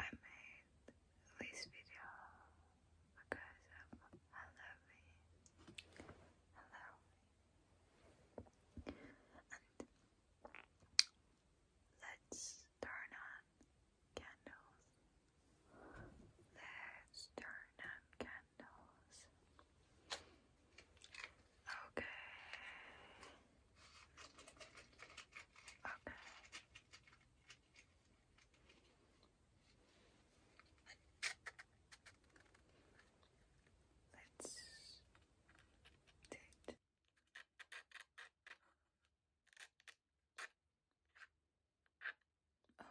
I made this video because of Halloween. Halloween. And let's turn on candles. Let's turn on candles. Okay. Okay. Let's date. Oh,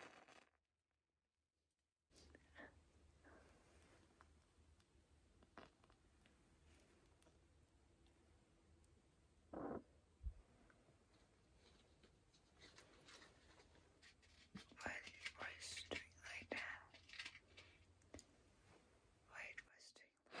it's why did you boys doing like that? Why it was doing like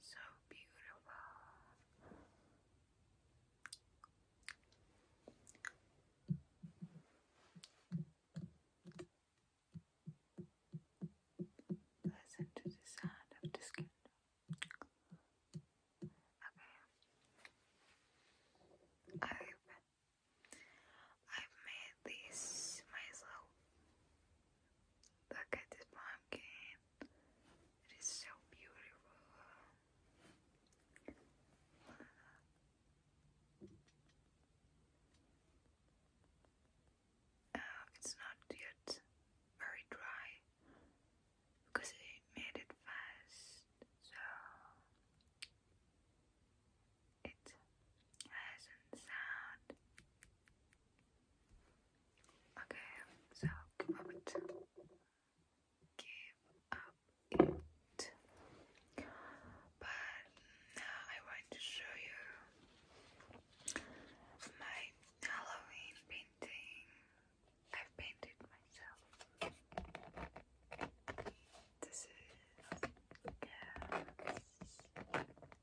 So beautiful. Listen to the sound of this candle. Okay. I've made this myself. Look at this pumpkin. It is so beautiful. Um, it's not yet very dry because I made it fast, so it hasn't sound. Okay, so give up it. But now I want to show you my Halloween painting. I've painted myself. This is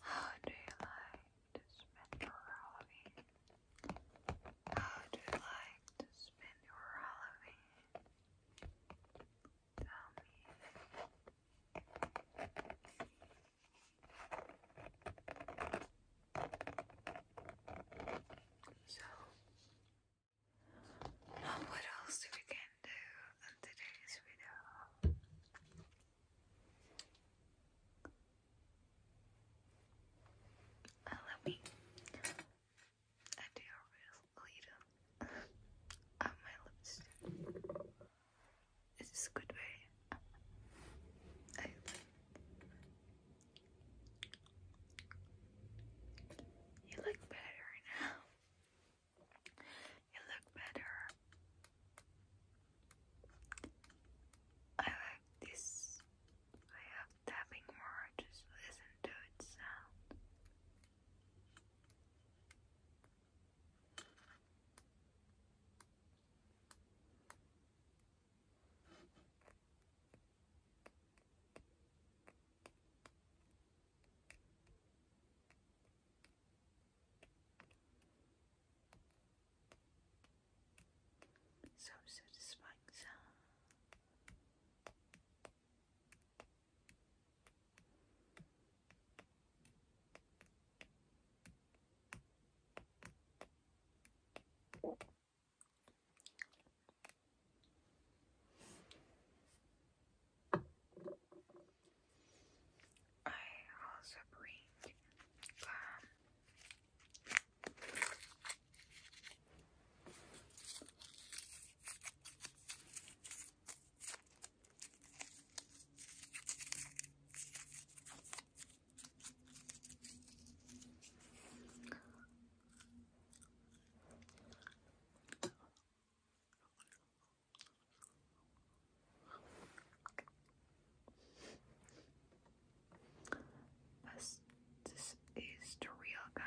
How do you like to spend your Halloween? How do you like to spend your Halloween? Tell me. So, now what else we can do in today's video? Uh, let me I do a real little on uh, my lipstick. This is a good way. You look better now. You look better. I like this way of tapping more. Just listen to its sound. So satisfying I also bring um, this, this is the real gum.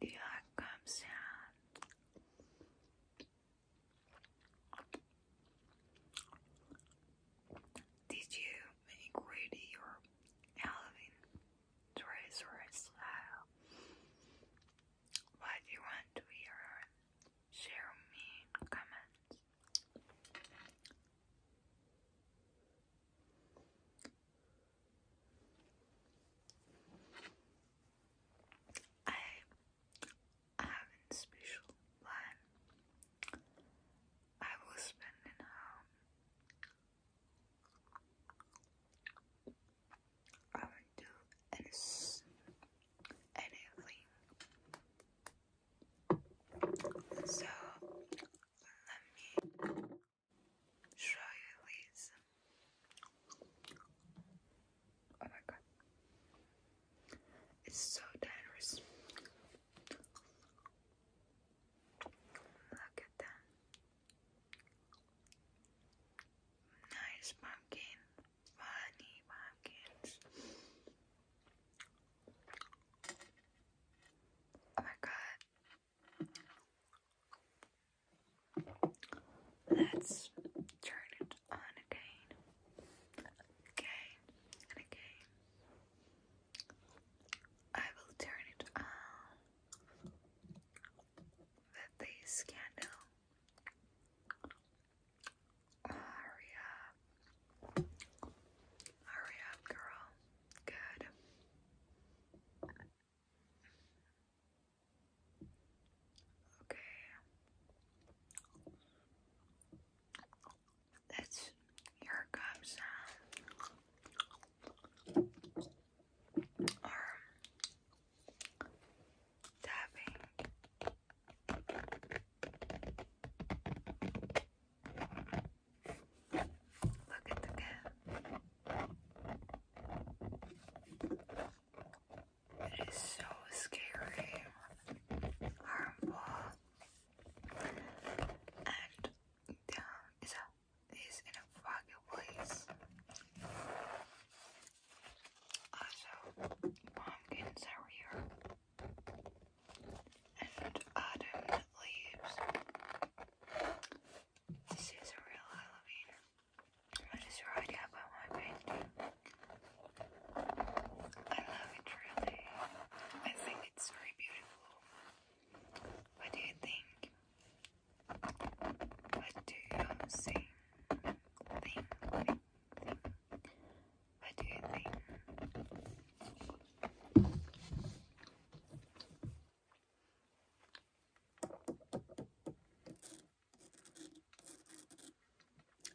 The arc Did you make ready your Halloween dress or style? What do you want to hear? Share me in comments. I have a special plan. I will spend in um, I will do anything so let me show you these. Oh my god. It's so dangerous. Look at them. Nice pumpkin. Funny pumpkins. Oh my god. Let's turn it on again. Again again. I will turn it on with this candle. Hurry up. Hurry up, girl. Good. Okay. That's here it comes uh, tapping. Look at the cat. It is so scary, harmful, and yeah, is in a foggy place. Also, pumpkins are here and autumn leaves. This is a real Halloween. I just write up my painting. I love it really. I think it's very beautiful. What do you think? What do you think? think. I do think would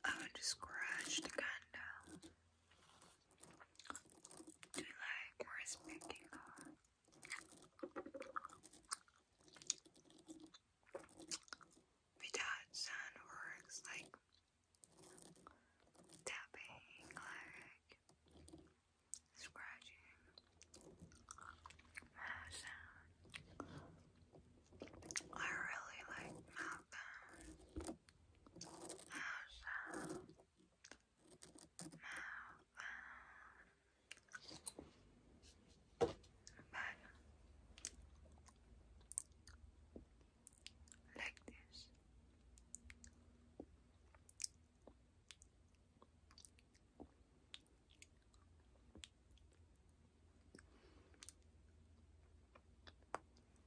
oh, just scratch the candle to like more respecting her. Without sound works like tapping, like scratching, I really like mouth sound, mouth But like this.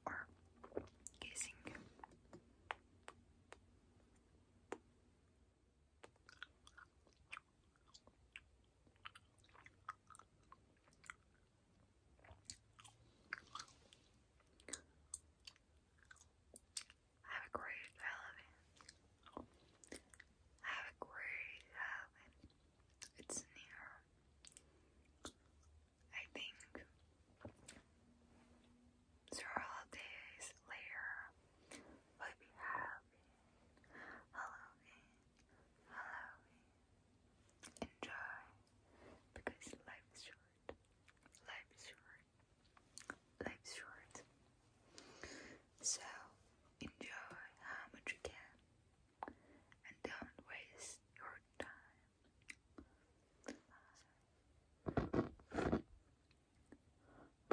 Or kissing. Have a great Halloween. Have a great Halloween. It's near. I think several days later we'll be happy. Halloween. Halloween. Enjoy because life is short life short. Life short. So enjoy how much you can and don't waste your time.